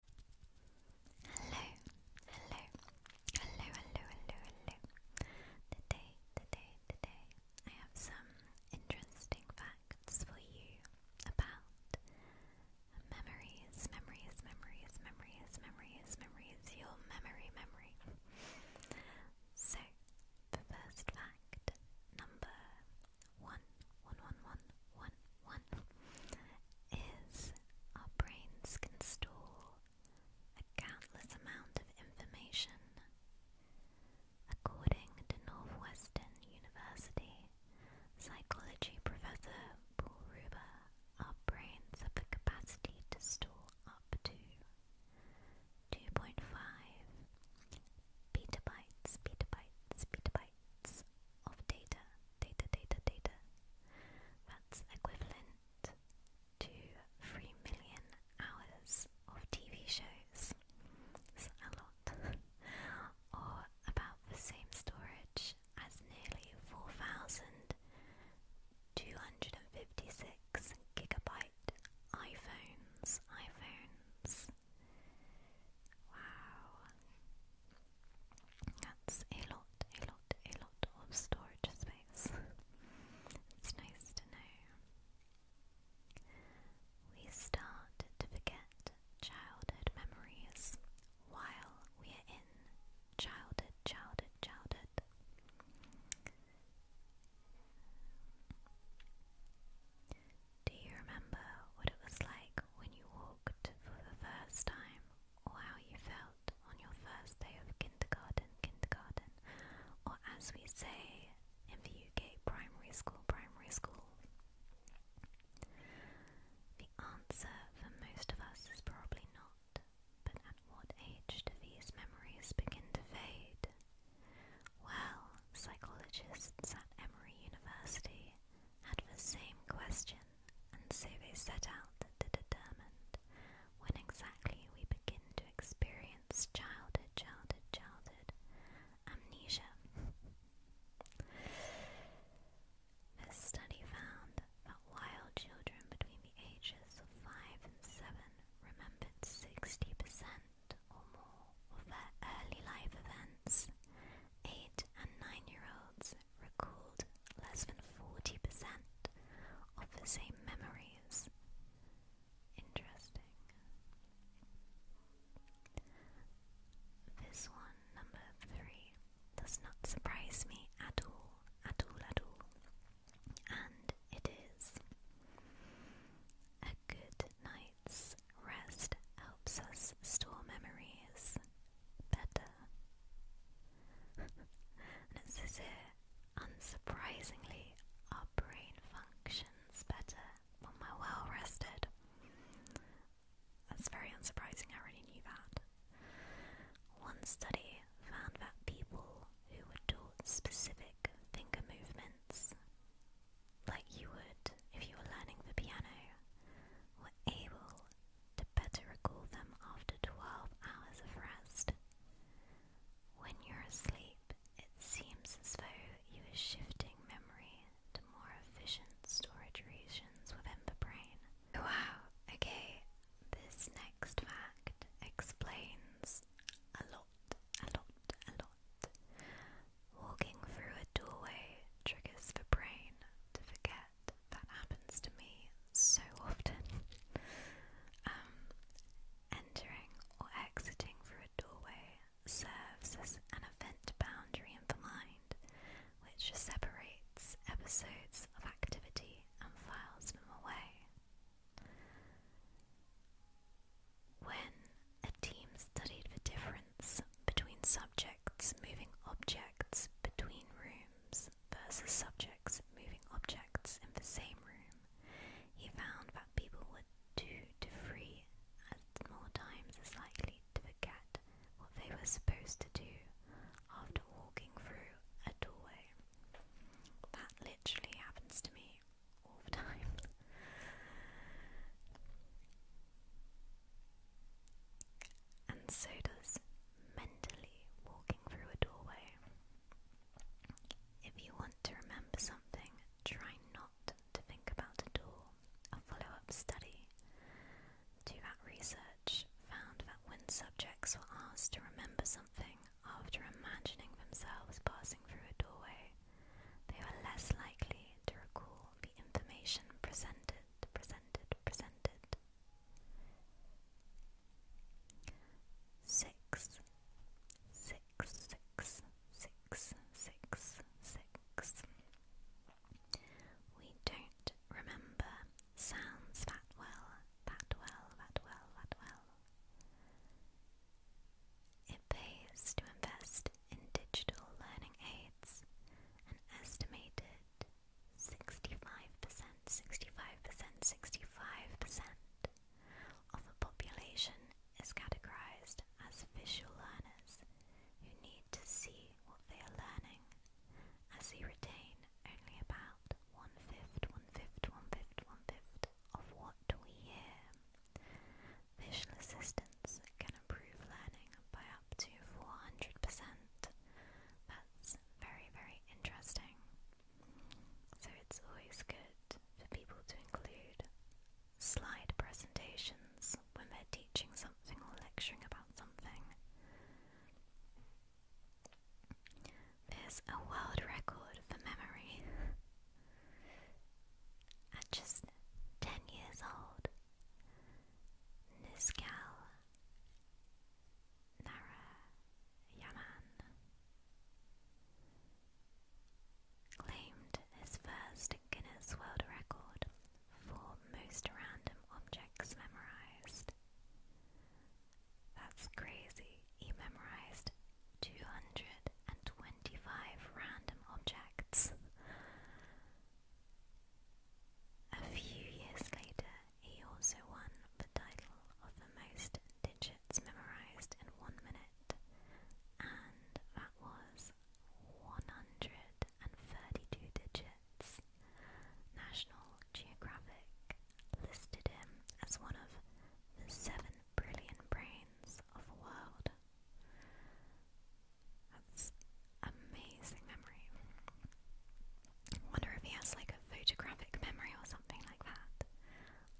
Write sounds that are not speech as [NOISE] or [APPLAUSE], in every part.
Hello, hello, hello, hello, hello, hello. Today, today, today, I have some interesting facts for you about memories, memories, memories, memories, memories, memories, your memory, memory. So, the first fact number one, one, one, one, one one, is our brains can store a countless amount of information. According to Northwestern University psychology professor Paul Ruber, our brains have the capacity to store up to 2.5 petabytes, petabytes, petabytes of data, data, data, data. That's equivalent to 3 million hours of TV shows. a lot. [LAUGHS] or about the same storage as nearly 4,256 gigabytes iPhones. iPhones. Wow. That's a lot, a lot, a lot of storage space. it's nice to know. We start to forget childhood memories while we are in childhood, childhood, childhood. Do you remember what it was like when you walked for the first time or how you felt on your first day of kindergarten, kindergarten, or as we say in the UK, primary school, primary school? The answer for most of us is probably not, but at what age do these memories begin to fade? Well, psychologists at Emory University had the same question and so they set out to determine when exactly we begin to experience childhood, childhood, childhood amnesia. This study found that wild children between the ages of 5 and 7 remembered 60% or more of their early life events, 8 and 9 year olds recalled less than 40% of the same memories. Interesting. This one, number three, does not surprise me at all, at all, at all. And it is. A good night's rest helps us store memories better. and [LAUGHS] it says here, unsurprisingly, our brain functions better when we're well rested. That's very unsurprising, I already knew that. One study found that people who were taught specific finger movements, like you would if you were learning the piano, were able to better recall them after 12 hours of rest. When you're asleep, it seems as though you are shifting memory to more efficient storage regions within the brain. Wow, okay, this next fact explains a lot, a lot, a lot. Walking through a doorway triggers the brain to forget that happens to me so often. Um, entering or exiting through a doorway serves as an event boundary in the mind, which separates episodes of activity and files them away. When a team studied the difference between subjects moving objects between rooms, versus subjects moving objects in the same room, he found that people were two to three and more times as likely to forget what they were supposed to do after walking through a doorway. That literally happens to me all the time. [LAUGHS] and so does mentally walking through a doorway. If you want to remember something, try not to think about a door. A follow up study to that research found that when subjects were asked to remember something after imagining themselves passing through a doorway, they were less likely to recall the information presented, presented, presented Six, six, six, six, six, six. We don't remember sounds that well, that well, that well, that well. It pays to invest in digital learning aids. An estimated 65 percent, 65 percent, 65 percent of the population is categorized as visual learners who need to see what they are learning, as they retain only about one fifth, one fifth, one fifth, one fifth of what we hear. Visual assistance can improve learning by up to 400%. That's very, very interesting. So it's always good for people to include slide presentations when they're teaching something or lecturing about something. There's a world record for memory. At just 10 years old, this gal Yaman claimed his first Guinness World Record for most random objects memorized. That's crazy. He memorized 225 random objects. A few years later, he also won the title of the most digits memorized in one minute, and that was 132 digits. National Geographic listed him as one of the seven brilliant brains of the world amazing memory. wonder if he has like a photographic memory or something like that.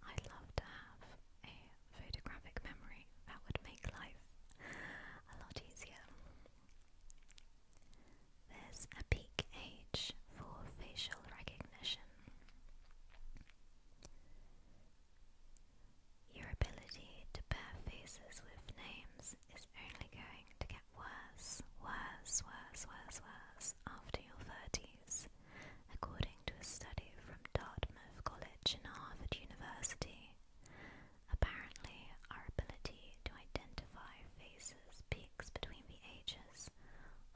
I'd love to have a photographic memory. That would make life a lot easier. There's a peak age for facial recognition. Your ability to pair faces with names this is only going to get worse, worse, worse, worse, worse after your 30s, according to a study from Dartmouth College and Harvard University. Apparently, our ability to identify faces peaks between the ages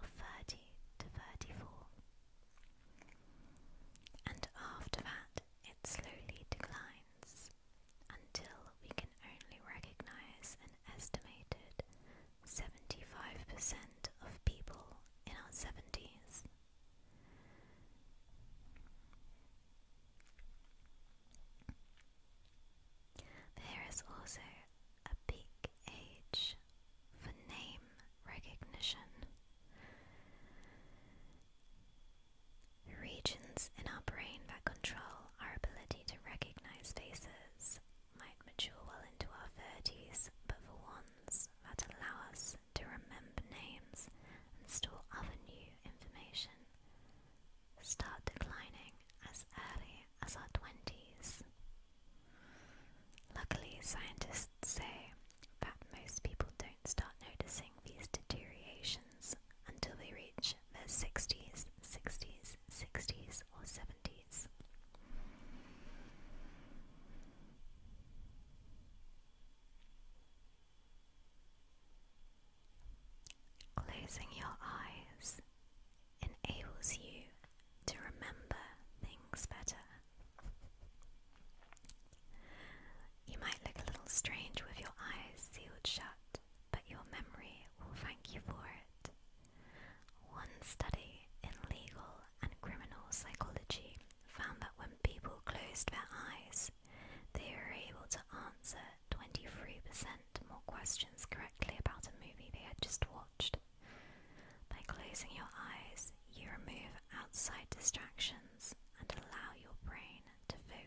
of 30 to 34. And after that, it slowly declines until we can only recognize an estimated 75% of people in our 70s. There is also a peak age for name recognition. Regions in our brain that control our ability to recognize faces might mature well into our 30s, but for ones that allow us to remember names and store other new information start declining as early as our 20s. Luckily, scientists say that most people don't start noticing these deteriorations until they reach their 60s, 60s, 60s, or 70s. Closing your eyes enables you to remember things better. You might look a little strange with your eyes sealed shut, but your memory will thank you for it. One study in legal and criminal psychology found that when people closed their eyes, they were able to answer 23% more questions correctly about a movie they had just watched. By closing your eyes, you remove outside distractions and allow your brain to focus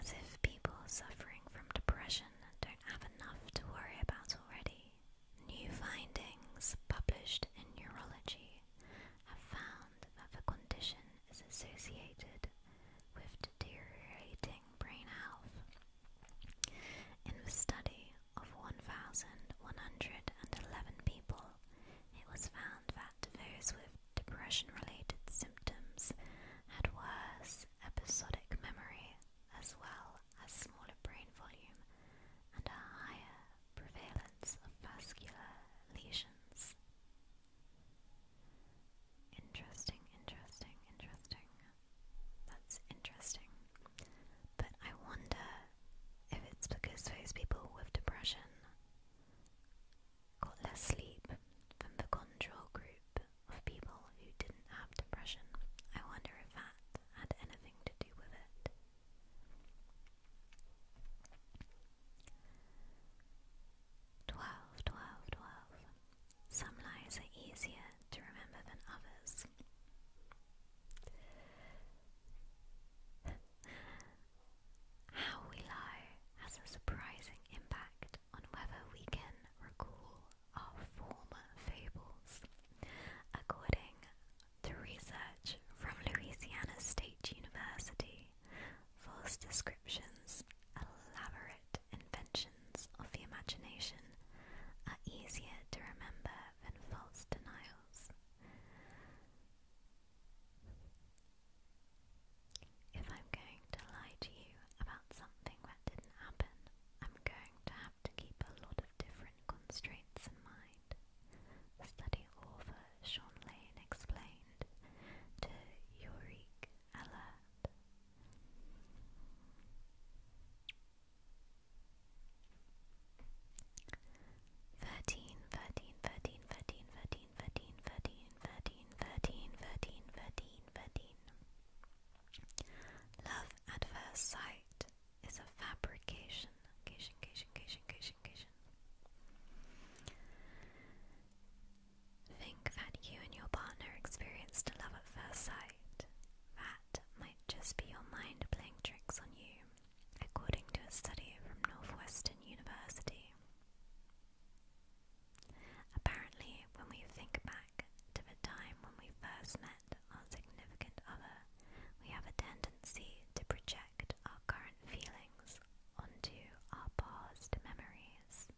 as if people suffering from depression don't have enough to worry about already. New findings published in Neurology have found that the condition is associated with deteriorating brain health. In the study of 1,111 people, it was found that those with depression related symptoms had worse episodic memory as well as smaller brain volume and a higher prevalence of vascular lesions. Interesting, interesting, interesting. That's interesting. But I wonder if it's because those people with depression got less sleep than the control group of people who didn't have depression. I wonder if that had anything to do with it. Twelve, twelve, twelve. Some lies are easier to remember than others. [LAUGHS] How we lie has a surprising impact on whether we can recall our former fables. According to research from Louisiana State University, false descriptions, elaborate inventions of the imagination, are easier to remember than false denials. If I'm going to lie to you about something that didn't happen, I'm going to have to keep a lot of different constraints in mind. Study author Sean Lane explained to Yorick Alert. Thirteen, thirteen, thirteen, thirteen, thirteen, thirteen, thirteen, thirteen, thirteen, thirteen, thirteen. Love at first sight is a fabrication. Think that you and your partner experienced love at first sight. That might just be your mind playing tricks on you, according to a study from Northwestern University. Apparently, when we think back to the time when we first met our significant other, we have a tendency to project our current feelings onto our past memories.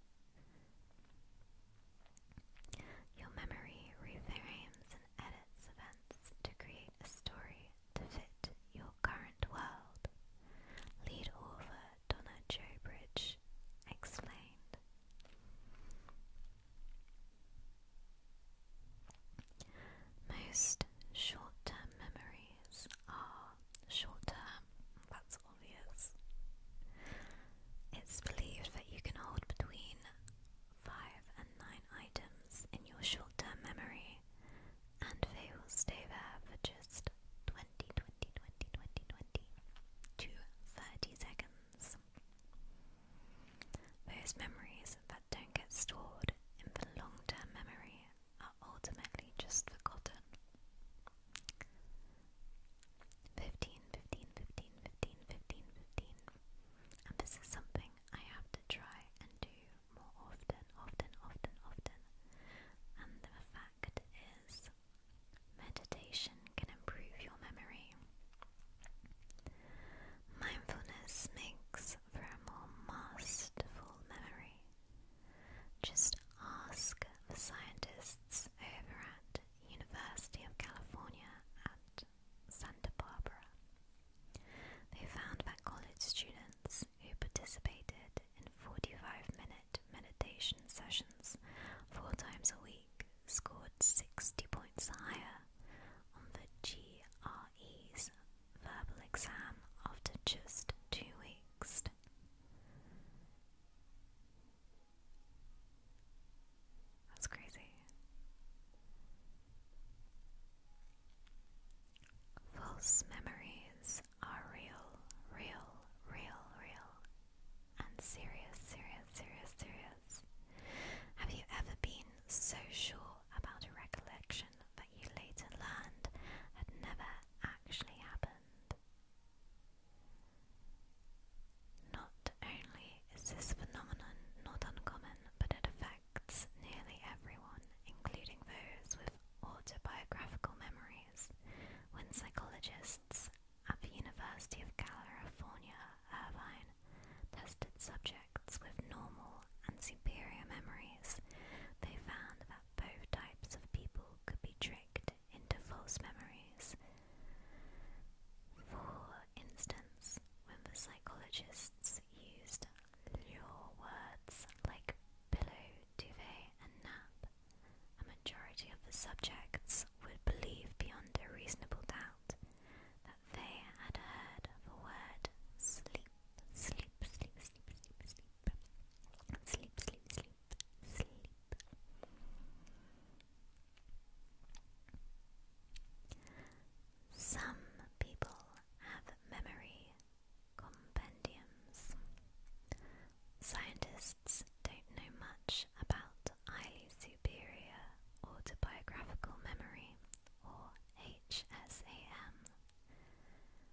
Your memory reframes and edits events to create a story to fit your current world. Lead over. Donna Jobridge explained. Most short term memories are short term, that's obvious. It's believed that you can hold between 5 and 9 items in your short term memory, and they will stay there for just 20 20, 20, 20, 20, 20 to 30 seconds. Those memories that don't get stored in the long term memory are ultimately just forgotten. 15, 15, 15, 15, 15, 15. And this is something I have to try and do more often, often, often, often. And the fact is, Meditation can improve your memory. Mindfulness makes for a more masterful memory. Just ask the scientists over at University of California at Santa Barbara. They found that college students who participated in 45 minutes meditation sessions four times a week scored 60 points higher on the GRE's verbal exam after just two weeks. That's crazy. False memories are real, real, real, real, and serious, serious, serious, serious. Have you ever been so sure about a recollection that you later learned had never actually happened? Not only is this phenomenon not uncommon, but it affects nearly everyone, including those with autobiographical memories, when psychologists at the University of California, Irvine, tested subjects with normal and superior memories, they found that both types of people could be tricked into false memories. For instance, when the psychologists used lure words like pillow, duvet, and nap a majority of the subjects would believe beyond a reasonable doubt that they had heard the word sleep, sleep, sleep, sleep, sleep, sleep, sleep, sleep, sleep, sleep. Some people have memory compendiums. Scientists don't know much about highly superior autobiographical memory, or HSAM.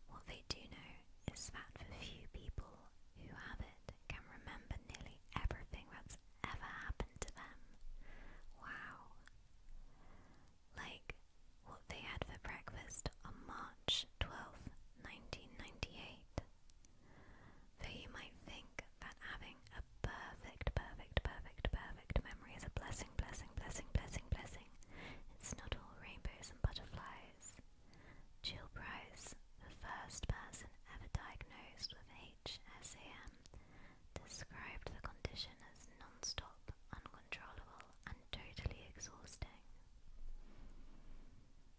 What they do know is that the few people who have it can remember nearly everything that's ever happened to them. Wow. Like what they had for breakfast on March 12, 1998. Though you might think that having a perfect, perfect, perfect, perfect memory is a blessing, blessing, blessing, blessing, blessing, it's not all rainbows and butterflies. Jill Price, the first person ever diagnosed with HSAM, described the condition as non stop, uncontrollable, and totally exhausting.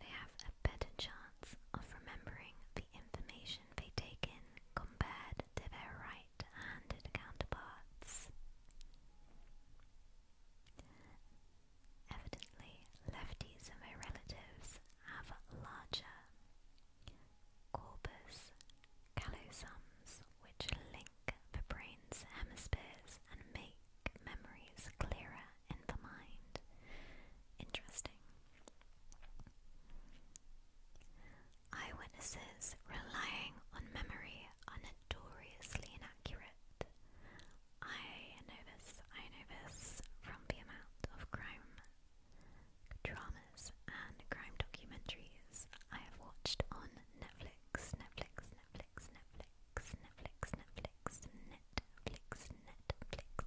they have a better chance of remembering the information they take in compared to their right-handed counterparts. Evidently, lefties and their relatives have larger corpus callosums which link the brain's hemispheres and make memories clearer and the mind. Interesting. Eyewitnesses relying on memory are notoriously inaccurate. I know this, I know this from the amount of crime dramas and crime documentaries I have watched on Netflix, Netflix, Netflix, Netflix. Netflix, Netflix, Netflix, Netflix, Netflix,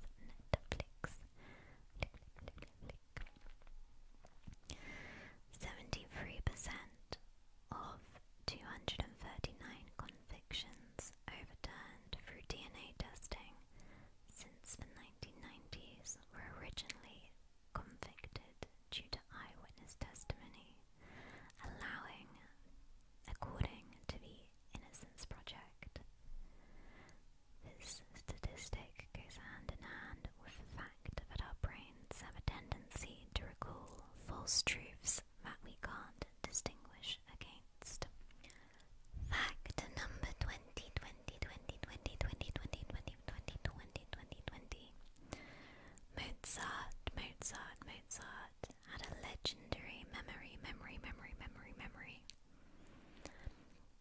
Netflix, Netflix. Seventy-three percent of two hundred and thirty-nine convictions overturned through DNA testing since the nineteen nineties were originally convicted due to eyewitness testimony, allowing, according to the Innocence Project. This statistic goes hand in hand with the fact that our brains have a tendency to recall false truths that we can't distinguish against. Fact number 20 Mozart, Mozart, Mozart had a legendary memory, memory, memory, memory, memory.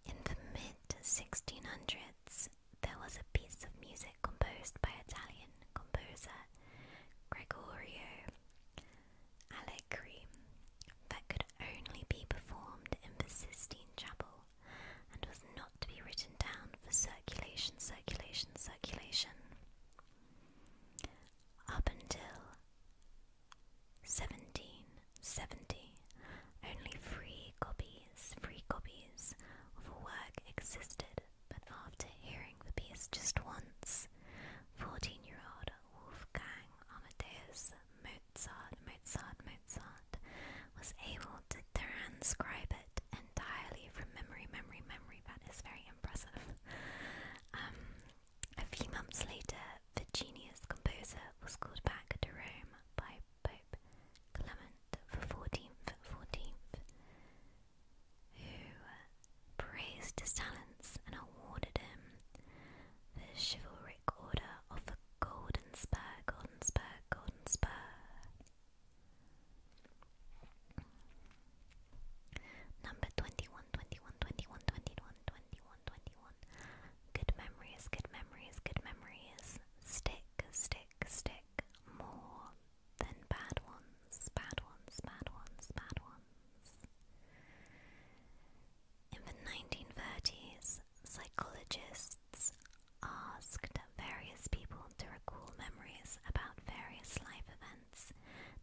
In the mid 1600s, there was a piece of music composed by Italian composer Gregorio Allegri that could only be performed in the Sistine Chapel and was not to be written down for circulation, circulation, circulation. Up until 1770. Only three copies, three copies of a work existed, but after hearing the piece just once, 14-year-old Wolfgang Amadeus Mozart, Mozart, Mozart was able to transcribe it entirely from memory, memory, memory. That is very impressive. Um, a few months later, the genius Composer was called back to Rome by Pope Clement XIV, 14th, who uh, praised his talents and awarded him the chivalric order of the Golden Spur, Golden Spur, Golden Spur. Number 21, Good memories, good memories, good memories. Stick, stick, stick. More than bad ones, bad ones, bad ones, bad ones. In the 1930s, psychologists asked various people to recall memories about various life events,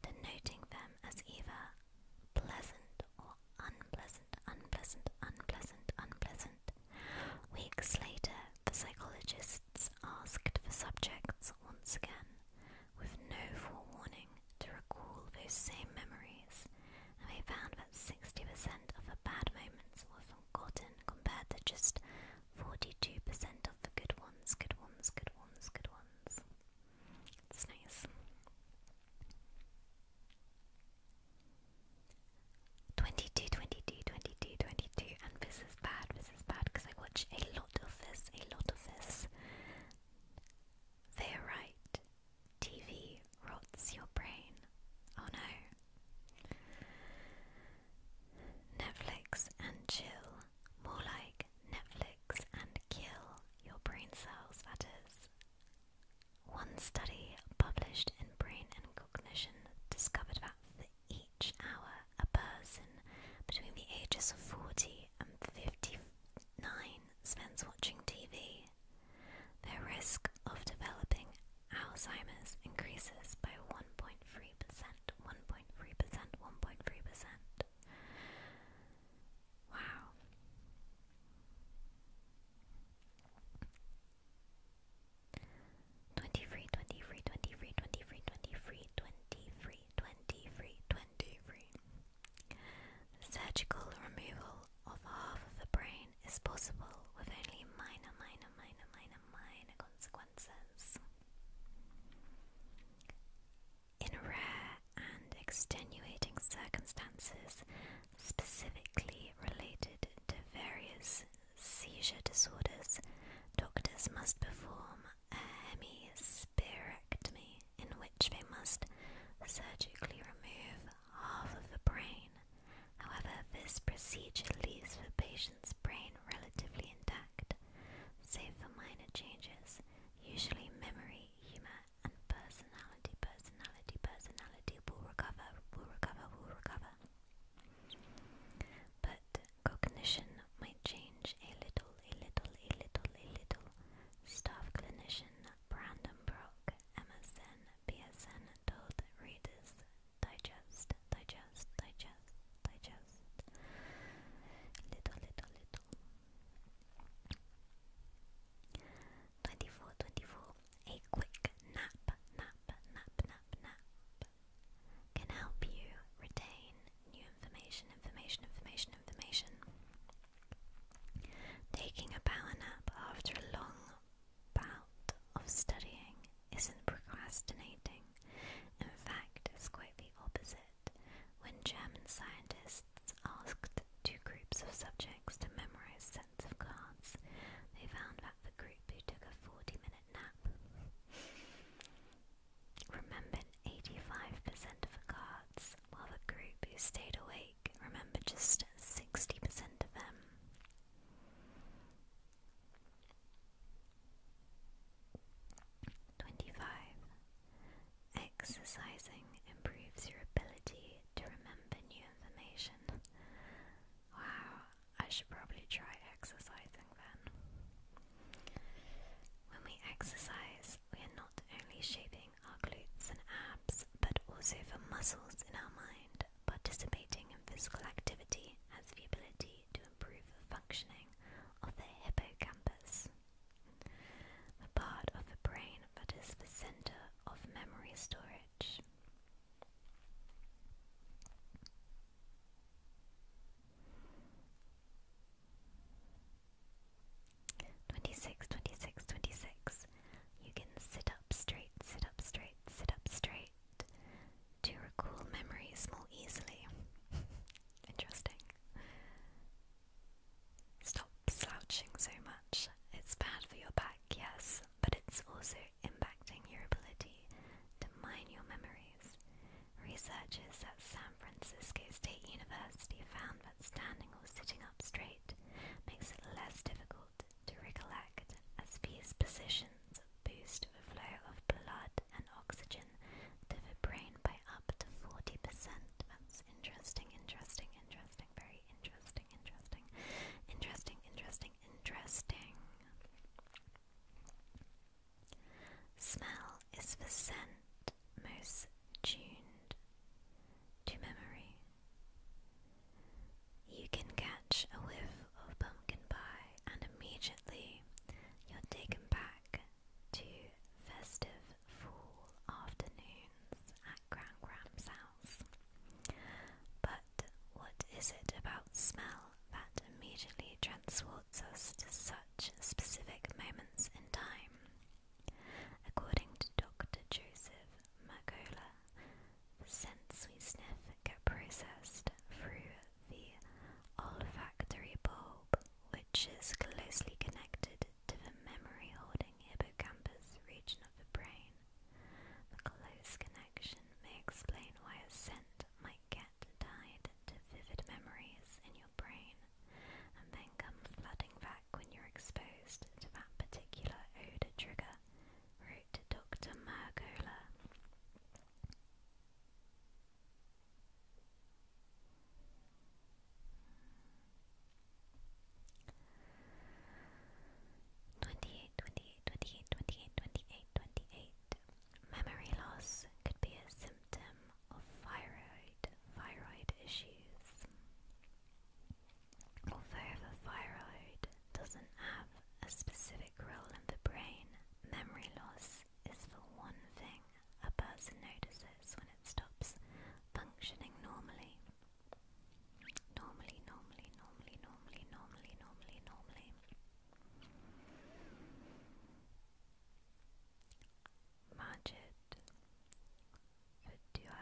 denoting them as either pleasant or unpleasant, unpleasant, unpleasant, unpleasant. Weeks later, the psychologists asked the subjects once again, with no forewarning, to recall those same memories, and they found that 60% of the bad moments were forgotten compared to just 42% of the good ones, good ones, good ones, good ones. It's nice. Twenty two, twenty two, twenty two, twenty two, and this is bad. This is bad because I watch a lot of this. A lot of this. They're right. TV rots your brain. Oh no. Netflix and chill. More like Netflix and kill your brain cells, that is. One study published in Brain and Cognition discovered that for each hour a person between the ages of 40 and 59 spends watching TV, their risk of developing Alzheimer's increases by 1.3%, 1.3%, 1.3%. Wow. Twenty Surgical removal of half of the brain is possible with only minor, minor, minor, minor, minor consequences in rare and extenuating circumstances specifically related to various seizure disorders, doctors must perform a hemispherectomy in which they must surgically remove half of the brain. However, this procedure leaves the patient's brain relatively intact, save for minor changes, usually memory, humor, and personality, personality, personality will recover, will recover, will recover. But cognition might change a little, a little, a little, a little. Staff clinician Brandon Brock, MSN, PSN told readers, digest, digest, digest, digest. Little, little, little. 24, 24. A quick nap, nap, nap, nap, nap can help you retain new information, information, information, information. Taking a power nap after a long bout of studying isn't procrastinating. In fact, it's quite the opposite when German scientists asked two groups of subjects to memorize sets of cards. They found that the group who took a 40 minute nap remembered 85% of the cards, while the group who stayed awake remembered just 60% of them. Twenty five. Exercising improves your ability to remember new information. Wow, I should probably try exercising then. When we exercise, we are not only shaping our glutes and abs, but also the muscles in our mind. Participating in physical activity has the ability to improve the functioning of the hippocampus the part of the brain that is the center of memory storage. Twenty six, twenty six, twenty six. You can sit up straight, sit up straight, sit up straight to recall memories more easily. [LAUGHS] Interesting. Stop slouching so much. It's bad for your back, yes, but it's also impacting your ability to mine your memories. Researchers at San Francisco State University found that standing or sitting up straight makes it less difficult to recollect, as these positions boost the flow of blood and oxygen to the brain by up to 40%. Interesting, interesting, interesting, very interesting, interesting, interesting, interesting, interesting. Smell is the scent most tuned to memory. You can catch a whiff of pumpkin pie and immediately you're taken back to festive full afternoons at Grand Gram's house. But what is it about smell that immediately transports us to such specific moments in time? According to Dr. Joseph Macola, the scents we sniff get processed through the olfactory bulb, which is closely connected to the memory-holding hippocampus region of the brain. The close connection may explain why a scent might get tied to vivid memories in your brain and then come flooding back when you're exposed to that particular odor trigger, wrote Dr. Margola. 28, Memory loss could be a symptom of thyroid, thyroid issues. Although the thyroid doesn't have a specific role in the brain, memory loss is the one thing a person notices when it stops functioning normally. Normally, normally, normally, normally, normally, normally, normally. Majid Duo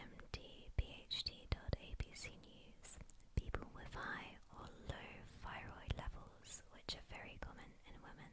MD PhD.abc News People with high or low thyroid levels, which are very common in women,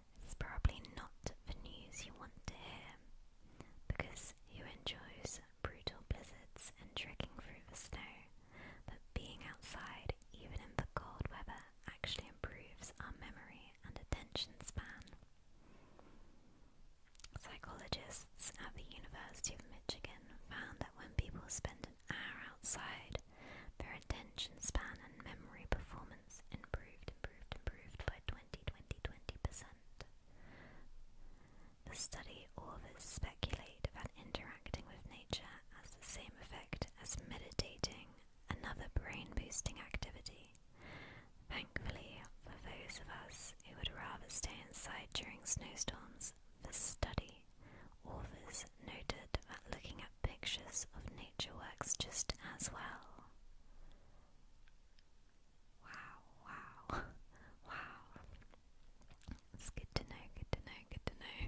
It's probably not the news you want to hear, because who enjoys brutal blizzards and trekking through the snow? But being outside, even in the cold weather, actually improves our memory and attention span. Psychologists at the University of Michigan found that when people spend an hour outside, their attention span and memory performance improved, improved, improved by 20, percent The study authors speculate that interacting with nature has the same effect as meditating, another brain boosting activity. Thankfully, for those of us who would rather stay inside during snowstorms, the study authors noted that looking at pictures of nature works just as well. Wow, wow, [LAUGHS] wow. It's good to know, good to know, good to know.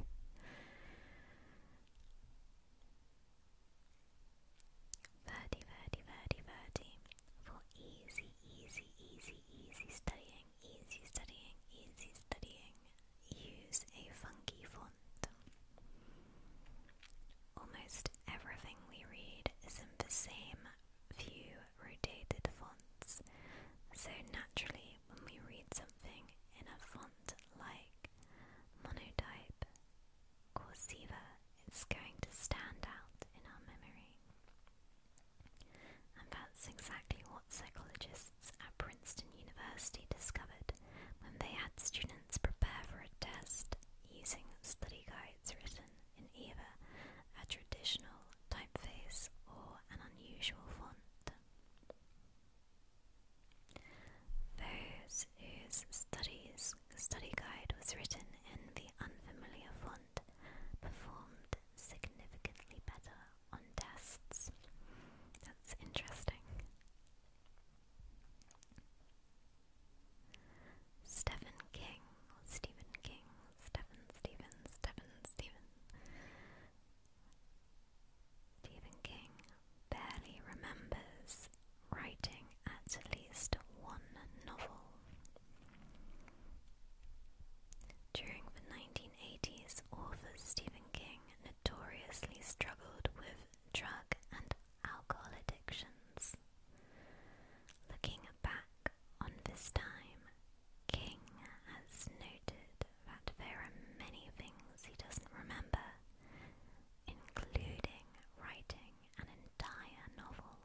Verdi, Verdi, Verdi, Verdi. For easy, easy, easy, easy studying, easy studying, easy studying. Use a funky font Almost everything we read is in the same few rotated fonts, so naturally, when we read something in a font like Monotype, Corsiva, it's going to stand out in our memory. And that's exactly what psychologists at Princeton University discovered when they had students prepare for a test using study guides written in Eva, a traditional typeface or an unusual font. Those whose studies, study guide was written in the unfamiliar font performed significantly better on tests. That's interesting. Stephen King, Stephen King, Stephen, Stephen, Stephen, Stephen. Stephen King barely remembers writing at least one novel. During the 1980s, author Stephen King notoriously struggled with drug and alcohol addictions. Looking back on this time, King has noted that there are many things he doesn't remember, including writing an entire novel.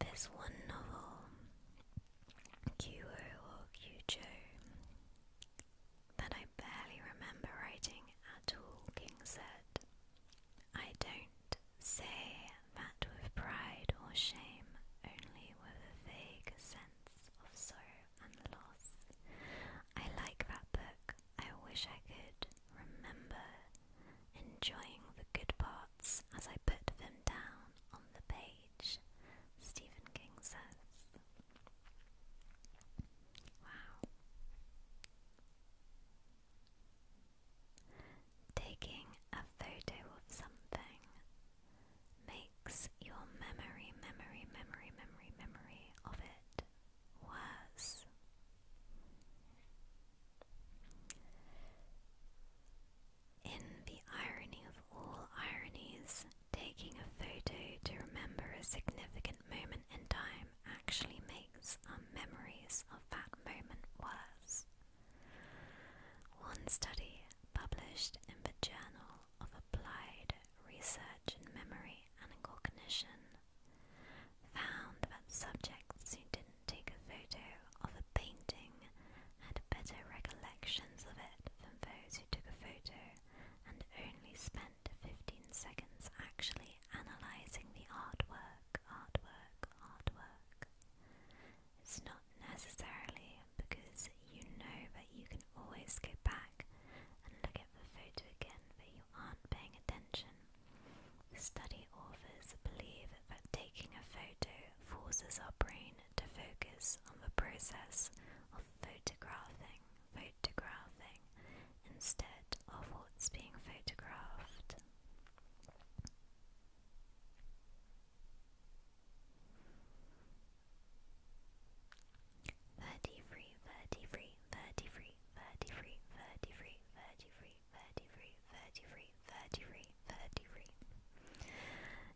This one novel, Qo or Kyujo, that I barely remember writing at all, King said. I don't say that with pride or shame, only with a vague sense of sorrow and loss. I like that book. I wish I could remember enjoying the good parts as I put them down on the page, Stephen King says. Wow. Taking a photo of something makes your memory, memory, memory, memory, memory of it worse. In the irony of all ironies, Taking a photo to remember a significant moment in time actually makes our memories of that moment worse. One study published in the Journal of Applied Research in Memory and Cognition found that subjects who didn't take a photo of a painting had better recollections of it than those who took a photo and only spent to 15 seconds actually analysing the artwork, artwork, artwork. It's not necessarily because you know that you can always go back and look at the photo again but you aren't paying attention. The study authors believe that taking a photo forces our brain to focus on the process of photographing, photographing, instead of what's being photographed. Verdi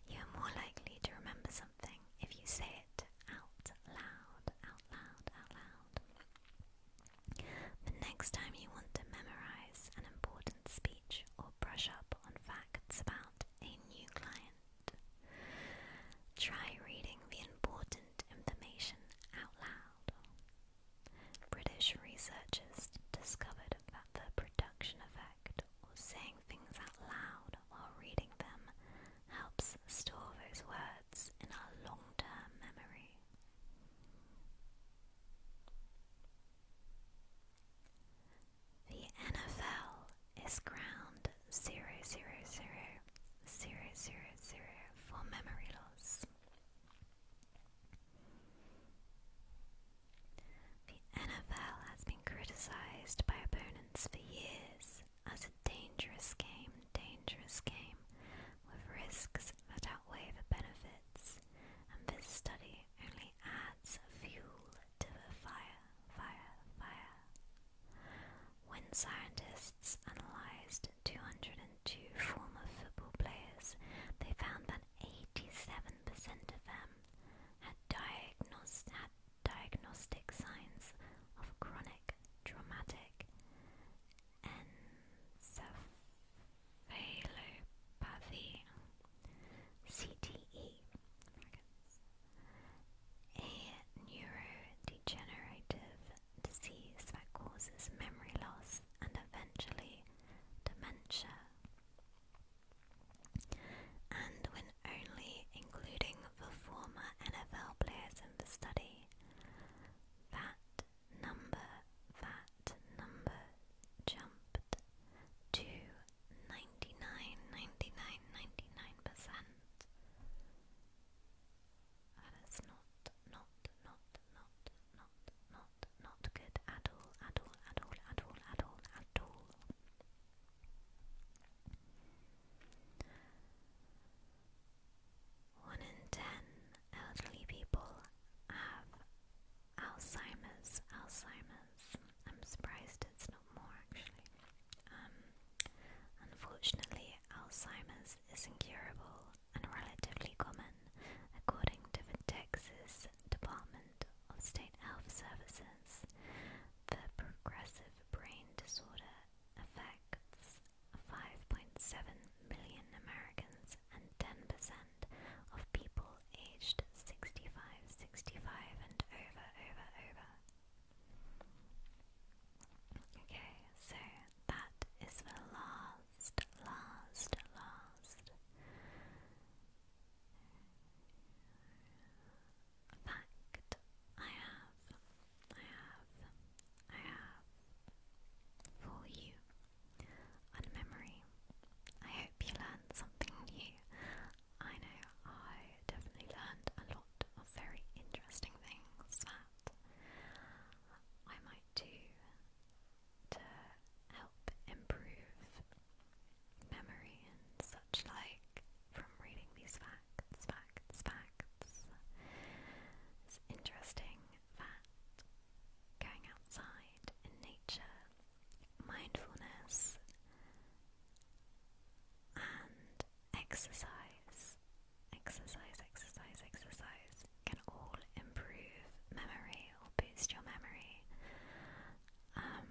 You're more likely to remember something if you say it out loud, out loud, out loud. The next time you want to memorize an important speech or brush up on facts about a new client, try reading the important information out loud. British researchers discovered that the production effect or saying things out loud while reading them helps store those words in our long term memory. The NFL is ground 000, for memory loss. The NFL has been criticized by opponents for years as a dangerous game, dangerous game, with risks that outweigh the benefits, and this study only adds fuel to the fire, fire, fire. When scientists analysed 202 former football players, they found that 87% of them had diagnosed, had diagnostic signs of chronic traumatic encephalopathy, CTE, a neurodegenerative disease that causes memory loss and eventually dementia. And when only, including the former NFL players in the study. That number, that number jumped to 99, That is not, not, not, not, not, not, not good at all, at all, at all, at all, at all, at all. One in ten elderly people have Alzheimer's. Alzheimer's. I'm surprised it's not more actually. Um, unfortunately, Alzheimer's is incurable and relatively common, according to the Texas Department of State Health Services. The progressive brain disorder affects 5.7 million Americans and 10% of people aged 65, 65 and over, over, over. Okay, so that is the last, last, last fact I have. I have, I have for you on memory. I hope you learned something new. I know I definitely learned a lot of very interesting things that I might do to help improve memory and such like from reading these facts, facts, facts. It's interesting that going outside in nature, mindfulness, and exercise, exercise, exercise, exercise can all improve memory or boost your memory. Um,